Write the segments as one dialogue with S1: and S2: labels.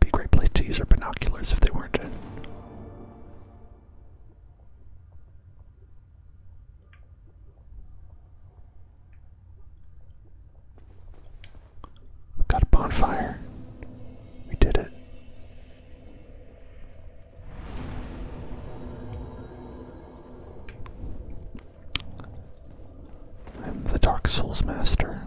S1: Be a great place to use our binoculars if they weren't in. got a bonfire. We did it. I'm the Dark Souls Master.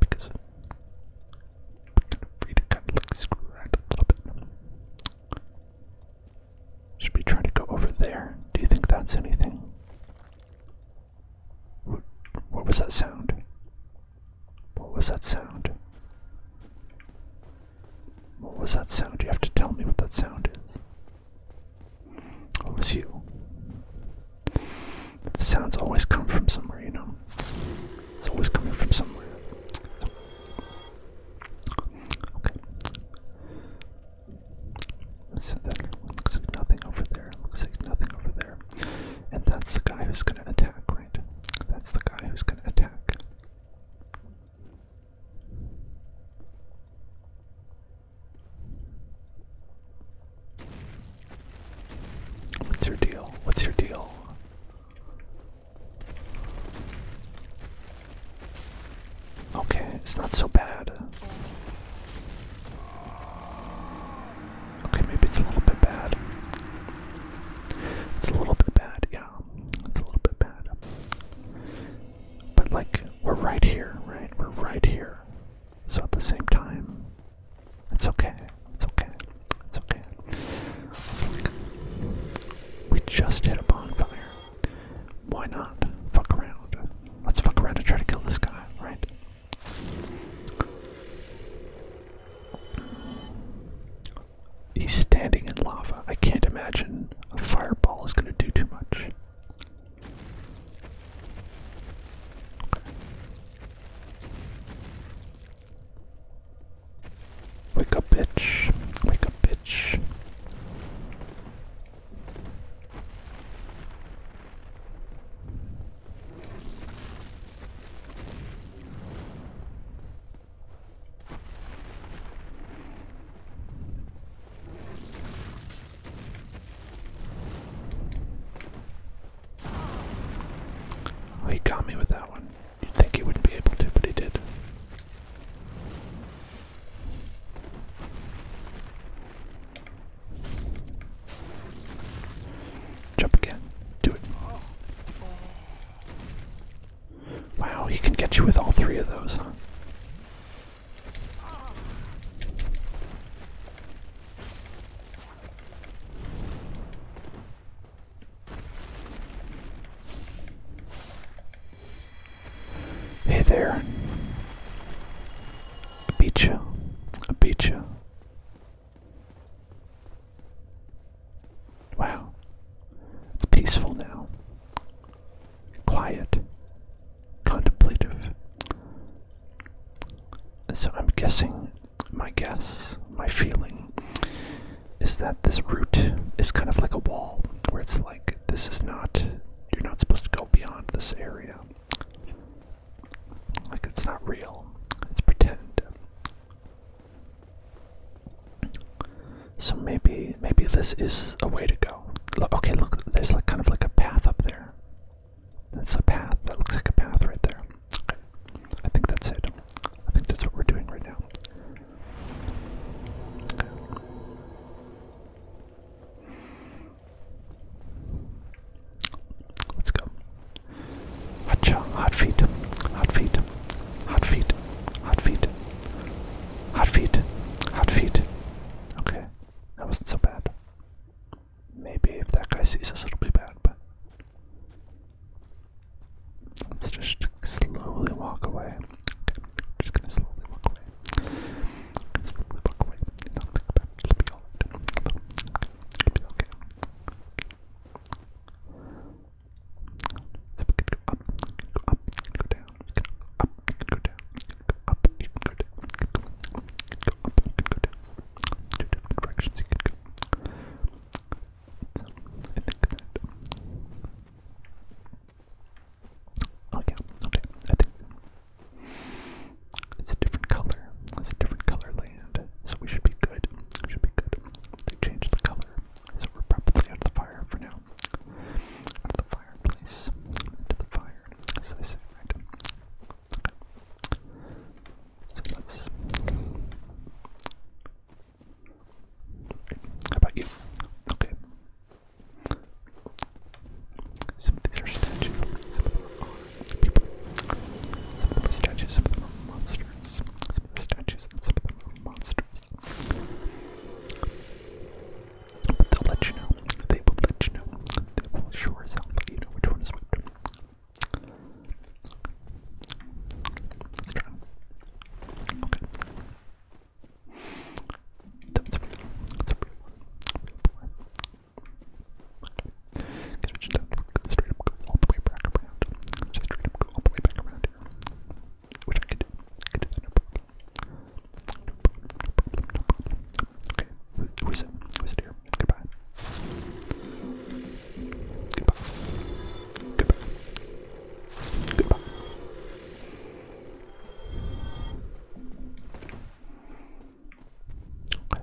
S1: Because we're gonna kind of like screw around a little bit. Should be trying to go over there? Do you think that's anything? What, was that sound? What was that sound? What was that sound? You have to tell me what that sound is. Oh, it was you. The sounds always come from somewhere, you know. It's always coming from somewhere. Okay. So that looks like nothing over there. Looks like nothing over there. And that's the guy who's gonna attack, right? That's the guy who's gonna attack. What's your deal? What's your deal? Okay, it's not so bad. Okay, maybe it's a little bit bad. It's a little bit bad, yeah. It's a little bit bad. But, like, we're right here, right? We're right here. So at the same time, it's okay. It's okay. It's okay. we just hit a bonfire. Why not fuck around? Let's fuck around and try to kill this guy, right? He's standing in lava. I can't imagine a fireball is going to do too much. Wake up, bitch. Wake up, bitch he got me with that one. You'd think he wouldn't be able to, but he did. Jump again. Do it. Wow, he can get you with all three of those, huh? Hey there. I beat Wow. It's peaceful now. Quiet. Contemplative. So I'm guessing, my guess, my feeling is that this route is kind of like a wall where it's like this is not, you're not supposed to go beyond this area. Like it's not real, it's pretend. So maybe, maybe this is a way to go. Okay, look, there's like kind of like a path up there. That's a path. That looks like a path right there. I think that's it. I think that's what we're doing right now. Let's go. hot feet, hot feet, hot feet, hot feet, hot feet, hot feet. Okay, that wasn't so bad maybe if that guy sees us, it'll be bad, but let's just slowly walk away. just gonna slowly walk away. gonna slowly walk away. it. will be Okay. It'll be okay. So we go up, we can go up, we can go down, we can go up, we can go down, can up, you can go down, go, go up, you can go down. Two different directions you can go. So, I think that. Oh, yeah, okay, I think. It's a different color. It's a different color land. So we should be good. We should be good. They changed the color. So we're probably out of the fire for now. Out of the fireplace. Into the fire. As I say, right? So that's. How about you? Okay. Some of these are statues, some of them are people. Some of them are statues, some of them are monsters. Some of them are statues, some of them are monsters. they'll let you know. They will let you know that will sure sound like you know which one is which. Let's try. Okay. That's a real, that's a real one. real one. Okay. straight up go all the way back around. Just straight up go all the way back around Which I Who's it? Who's it here? Goodbye. Goodbye. Goodbye. Goodbye. Okay.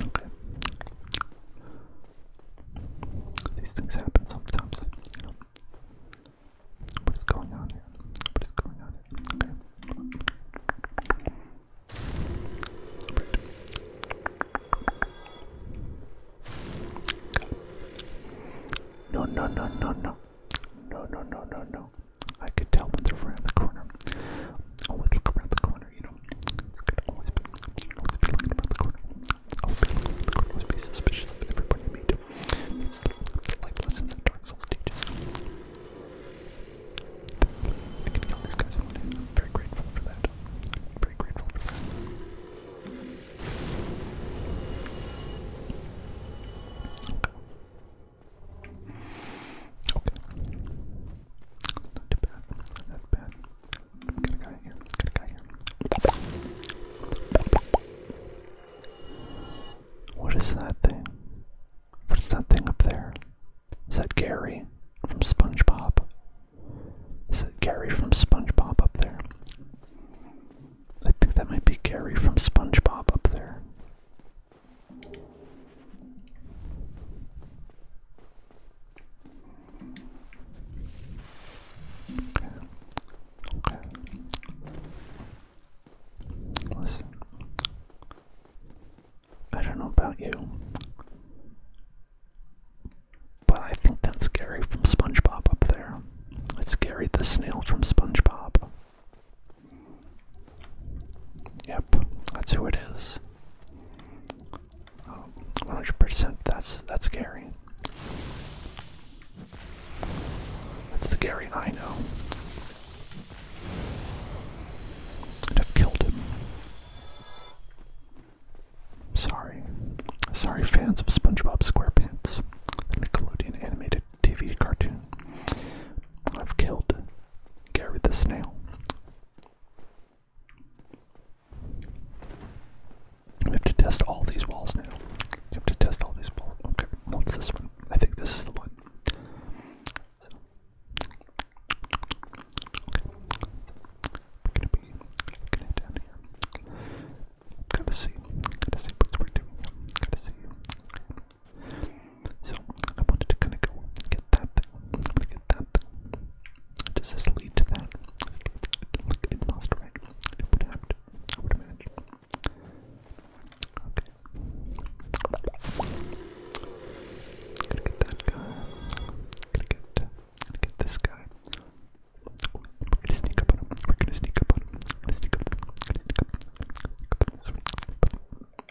S1: Okay. These things happen sometimes. What is going on here? What is going on Okay. No, no, no, no, no. No, no, no, no, no. I could tell when around the corner. Always around the corner corner, you know. It's good always be, always be looking around the corner. Always be looking around the corner, always be suspicious of everybody you meet. It's the life lessons that Dark Souls teaches. I can kill these guys in one day. I'm very grateful for that. I'm very grateful for that. Okay. Okay. Not too bad. That's bad. Got guy here. Got guy here. What is that thing? What's that thing up there? Is that Gary from SpongeBob? Is that Gary from SpongeBob up there? I think that might be Gary from SpongeBob up there. Okay. Listen. I don't know about you. But I think that's Gary from SpongeBob up there. It's Gary the Snail from SpongeBob. Yep, that's who it is. 100%. that's that's Gary. That's the Gary I know. I've killed him. Sorry. Sorry, fans of SpongeBob SquarePants, the Nickelodeon animated TV cartoon. I've killed Gary the Snail. We have to test all these walls now. We have to test all these walls. Okay, what's this one? I think this is the one. So. Okay. We're gonna be down here. Gotta see. Gotta see what we're doing. Gotta see. So I wanted to kind of go get that thing. I'm gonna get that thing. Does this lead to that? Look, it must, right? It would have I would imagine. Okay. Gonna get that guy. Gonna get. Gonna get this guy. We're gonna sneak up on him. We're gonna sneak up on him. We're gonna sneak up. We're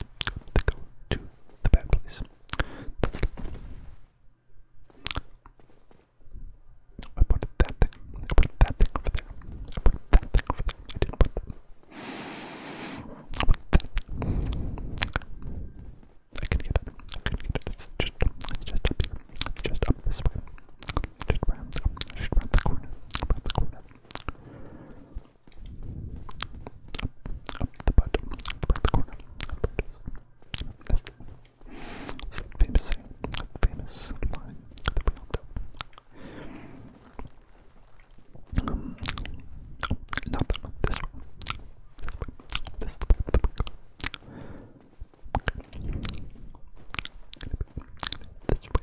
S1: to go to the bad place. I put that thing. I put that thing over there. I put that thing over there. I didn't put that. I can get it. I can get it. It's just, it's just up here. It's just up this way. Just round, the corner. Around the corner. Up, up the butt, up the corner. Up the That's the, that's the famous saying, the famous line that we all know. Um, oh, not that one, this one. This way, this is the way, the way. Okay. This way,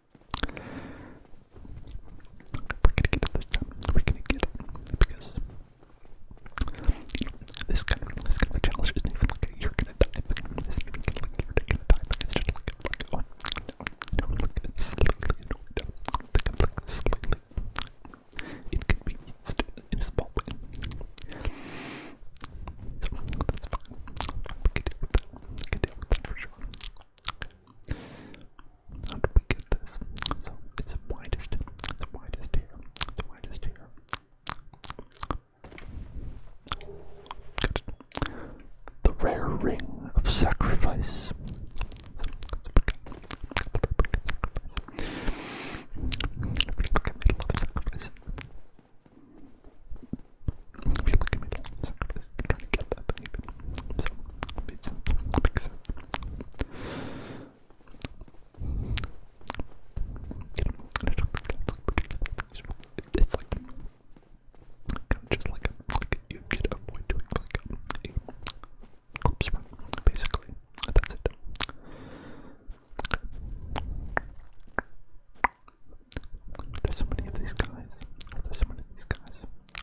S1: We're gonna get it this time. We're gonna get it because you know, this kind of this kind of a challenge isn't even like a, you're gonna die thing. It's even kind of like you're gonna die thing. It's just like a, like oh no, no, like it's slightly annoyed. I think I'm like slightly inconvenienced in a small way. So that's fine. We can deal with that. We can deal with that for sure. Okay. How do we get this? So it's the widest, the widest here, the widest here. The rare ring of sacrifice. If you look at me, I'm trying to get that thing. So, Pizza. Pizza. It's like just like, you could avoid doing like basically. That's it. There's so many of these guys. There's so many of these guys.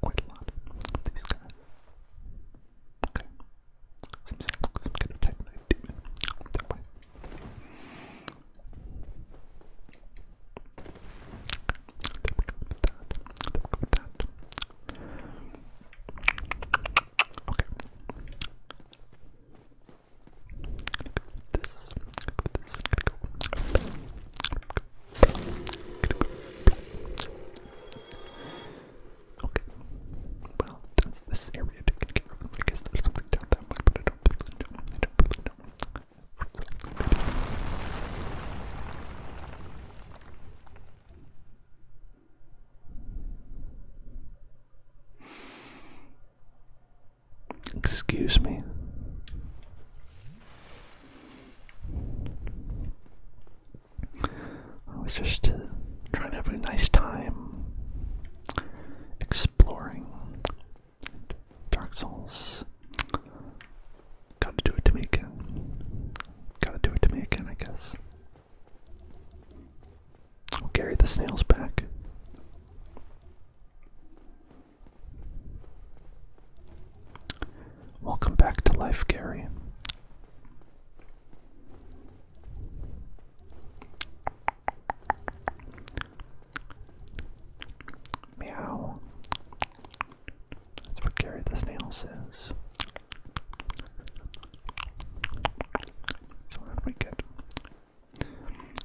S1: quite a lot of these guys. Okay. Okay. Okay. Well, that's this area taken care of. I guess there's something down that way, but I don't really know. I don't really know. So, Excuse me. I was just uh, trying to have a nice time exploring Dark Souls. Gotta do it to me again. Gotta do it to me again, I guess. I'll carry the snails back. Welcome back to life, Gary. Meow. That's what Gary the Snail says. So, how we get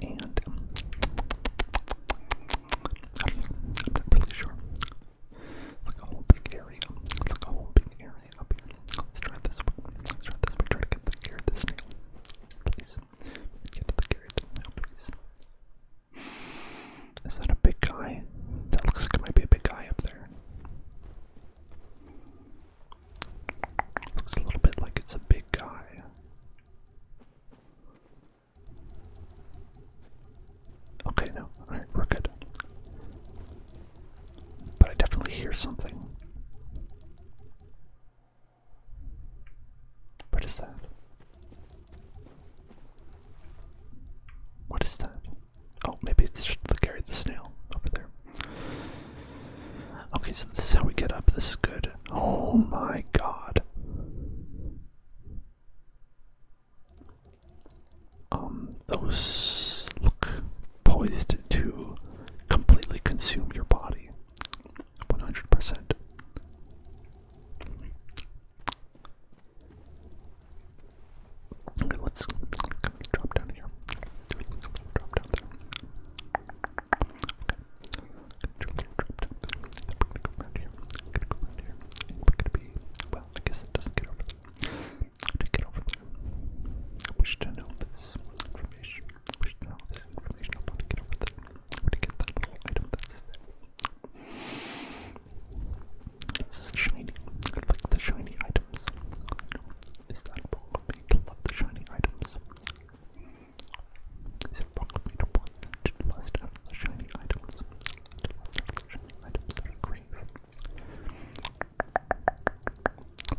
S1: And um, I'm not really sure. It's like a whole big area. It's like a whole big area up here. Let's try this one. Let's try this one. Try to get the gear this nail. Please. Get to the gear please. Is that a big guy? That looks like it might be a big guy up there. Looks a little bit like it's a big guy. Okay, no. Alright, we're good. But I definitely hear something. What is that? What is that? Oh, maybe it's just the Gary the Snail over there. Okay, so this is how we get up. This is good. Oh my god. Um, those look poised to completely consume your body. 100%. Okay, let's drop down here. Drop down there well, I guess it doesn't get over there. To get over there. I wish to know this information. I wish to know this information. I to get over there. I want to get that little item that's shiny. I like the shiny items. Is that a of me to love the shiny items? This I crave.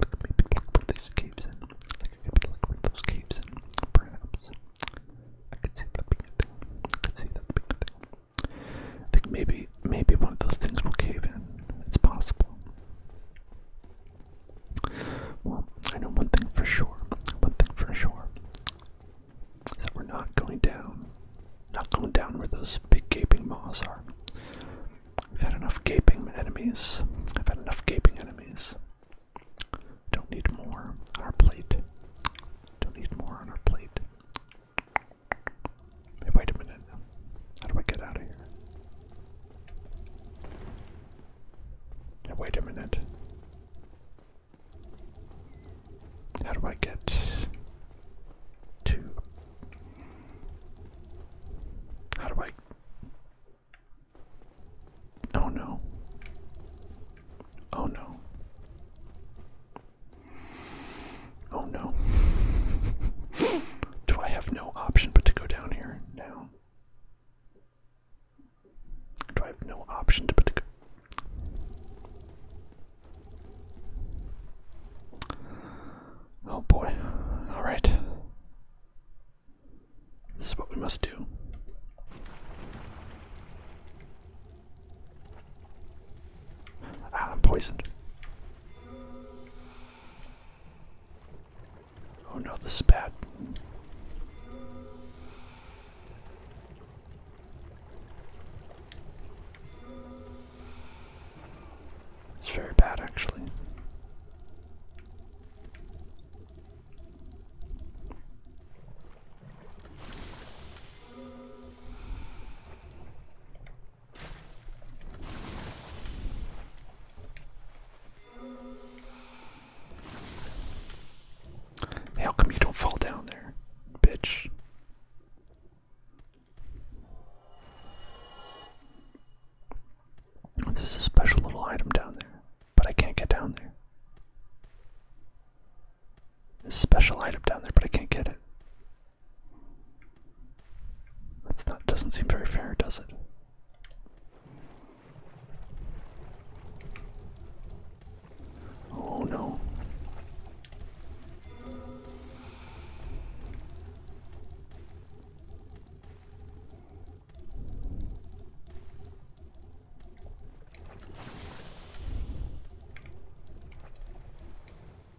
S1: Like maybe put these caves in. Like maybe look put those caves in, perhaps. I could see that being thing. I could see that being thing. think maybe maybe one of those things will cave in. It's possible. Well, I know one thing for sure. One thing for sure we're not going down. Not going down where those big gaping maws are. We've had enough gaping enemies. I've had enough gaping enemies. Don't need more on our plate. Don't need more on our plate. wait a minute. How do I get out of here? wait a minute. How do I get to? How do I? Oh no. Oh no. Oh no. do I have no option but to go down here? now? Do I have no option to put the. Oh boy. Alright. This is what we must do. Ah, I'm poisoned. Oh no, this is bad. It's very bad, actually how come you don't fall down there, bitch? There's a special little item down there, but I can't get down there. There's a special item down there, but I can't get it. That's not doesn't seem very fair, does it? Oh no.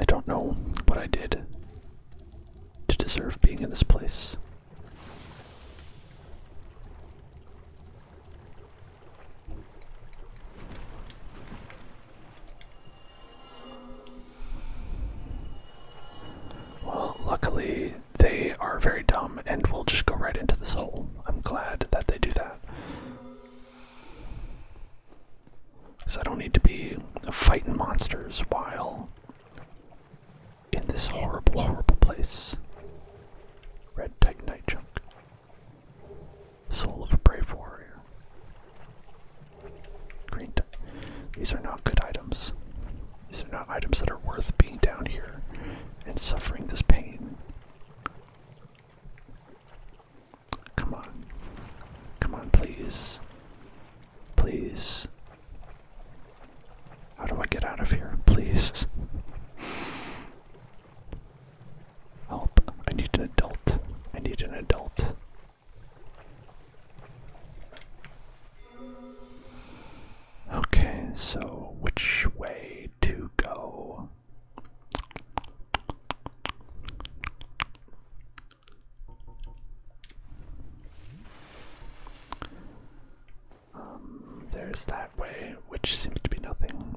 S1: I don't know what I did to deserve being in this place. Well, luckily, they are very dumb and will just go right into this hole. I'm glad that they do that. Cause I don't need to be fighting monsters while in this horrible, horrible place. Red Titanite Junk. Soul of a Brave Warrior. Green These are not good items. These are not items that are worth being down here and suffering this pain. Come on. Come on, please. Please. How do I get out of here? Please. Help. I need an adult. I need an adult. Okay, so which way to go? Um, there's that way, which seems to be nothing.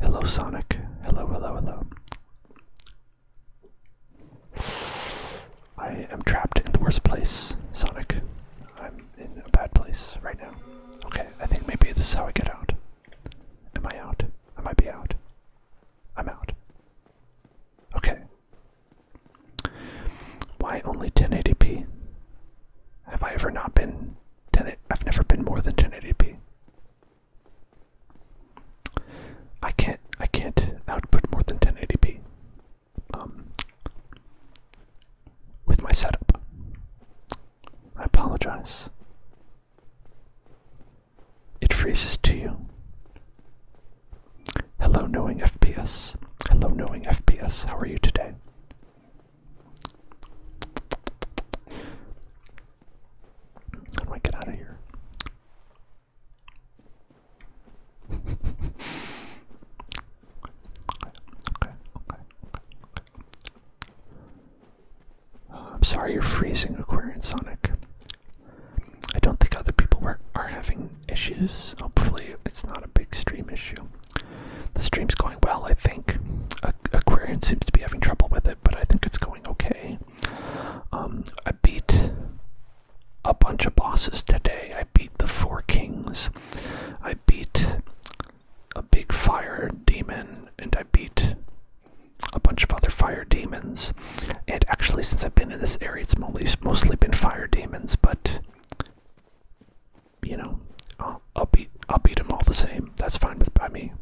S1: Hello, Sonic. Hello, hello, hello. I am trapped in the worst place, Sonic. I'm in a bad place right now. Okay, I think maybe this is how I get out. Am I out? I might be out. I'm out. Okay. Why only 1080p? Have I ever not been 10? I've never been more than 1080p. I can't. I can't output more than 1080p. Um. With my setup, I apologize. It freezes to you. Hello, knowing FPS. Hello, knowing FPS. How are you today? How do get out of here? okay, okay, okay, okay. Oh, I'm sorry you're freezing, Aquarian Sonic. I don't think other people were, are having issues. Hopefully, it's not a big stream issue. The stream's going well, I think. A Aquarian seems to be having trouble with it, but I think it's going okay. Um, I beat a bunch of bosses today. I beat the Four Kings. I beat a big fire demon, and I beat a bunch of other fire demons. And actually, since I've been in this area, it's mostly, mostly been fire demons, but you know, I'll, beat I'll beat them all the same. That's fine with by me.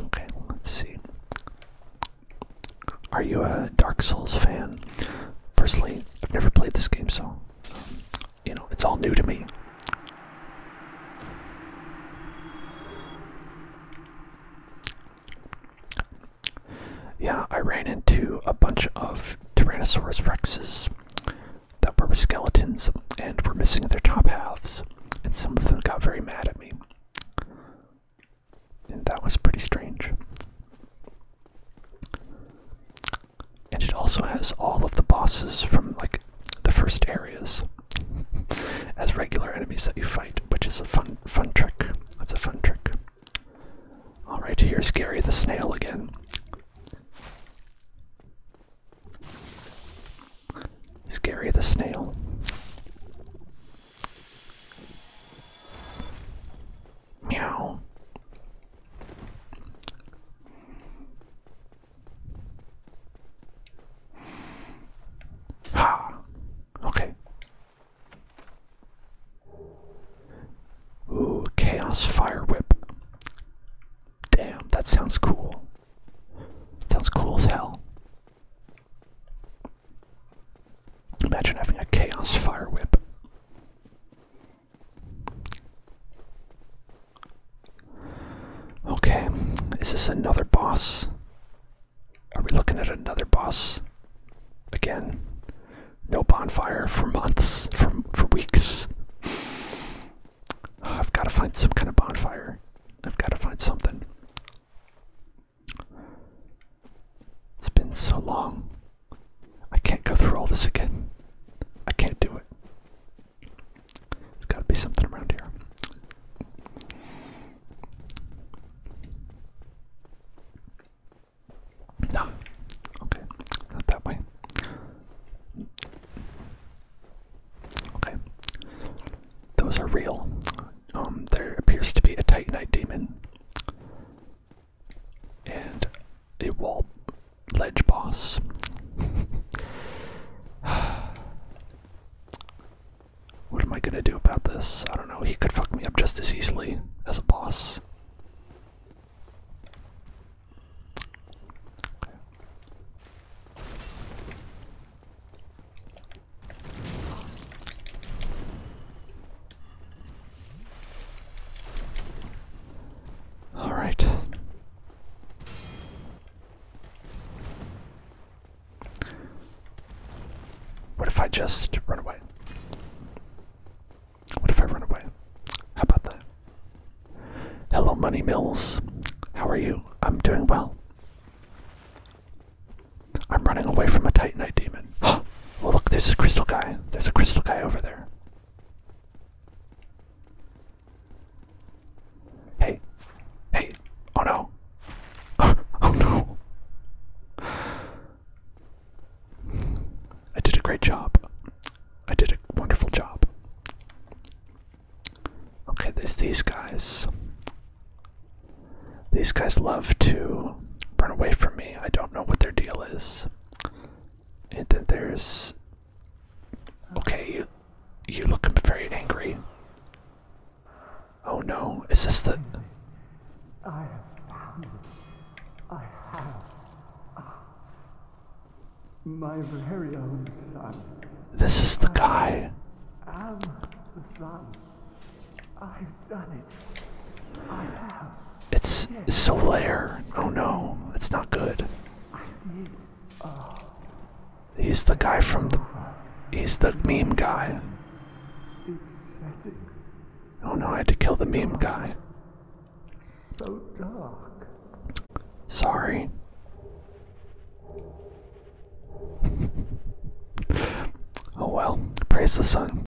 S1: Okay, let's see. Are you a Dark Souls fan? Personally, I've never played this game, so um, you know, it's all new to me. Yeah, I ran into a bunch of Tyrannosaurus rexes that were skeletons and were missing their top halves, and some of them got very mad at me. And that was pretty strange. And it also has all of the bosses from like the first areas as regular enemies that you fight, which is a fun fun trick. That's a fun trick. Alright, here's Gary the Snail again. Gary the Snail. Meow. Ha! Okay. Ooh, Chaos Fire Whip. Damn, that sounds cool. Sounds cool as hell. Imagine having a Chaos Fire Whip. Okay, is this another boss? Are we looking at another boss? Again, no bonfire for months, for, for weeks. I've got to find some kind of bonfire. I've got to find something. It's been so long. I can't go through all this again. I can't do it. There's gotta be something around here. No. Okay, not that way. Okay. Those are real. Um, there appears to be a Titanite demon and a wall ledge boss. what am I gonna do about this? I don't know. He could fuck me up just as easily as a boss. All right. What if I just run away? What if I run away? How about that? Hello, Money Mills. How are you? I'm doing well. I'm running away from a Titanite demon. Oh, look, there's a crystal guy. There's a crystal guy over there. Hey. Hey. Oh no. oh no. I did a great job. I did a wonderful job. Okay, there's these guys. These guys love to run away from me. I don't know what their deal is. And then there's. Okay, you, you looking very angry. Oh no, is this the. I have found ah, This is the guy. I've done it. I
S2: have. It's, it's Oh
S1: no, it's not good. He's the guy from the. He's the meme guy. Oh no, I had to kill the meme guy. So dark. Sorry. oh well, praise the sun.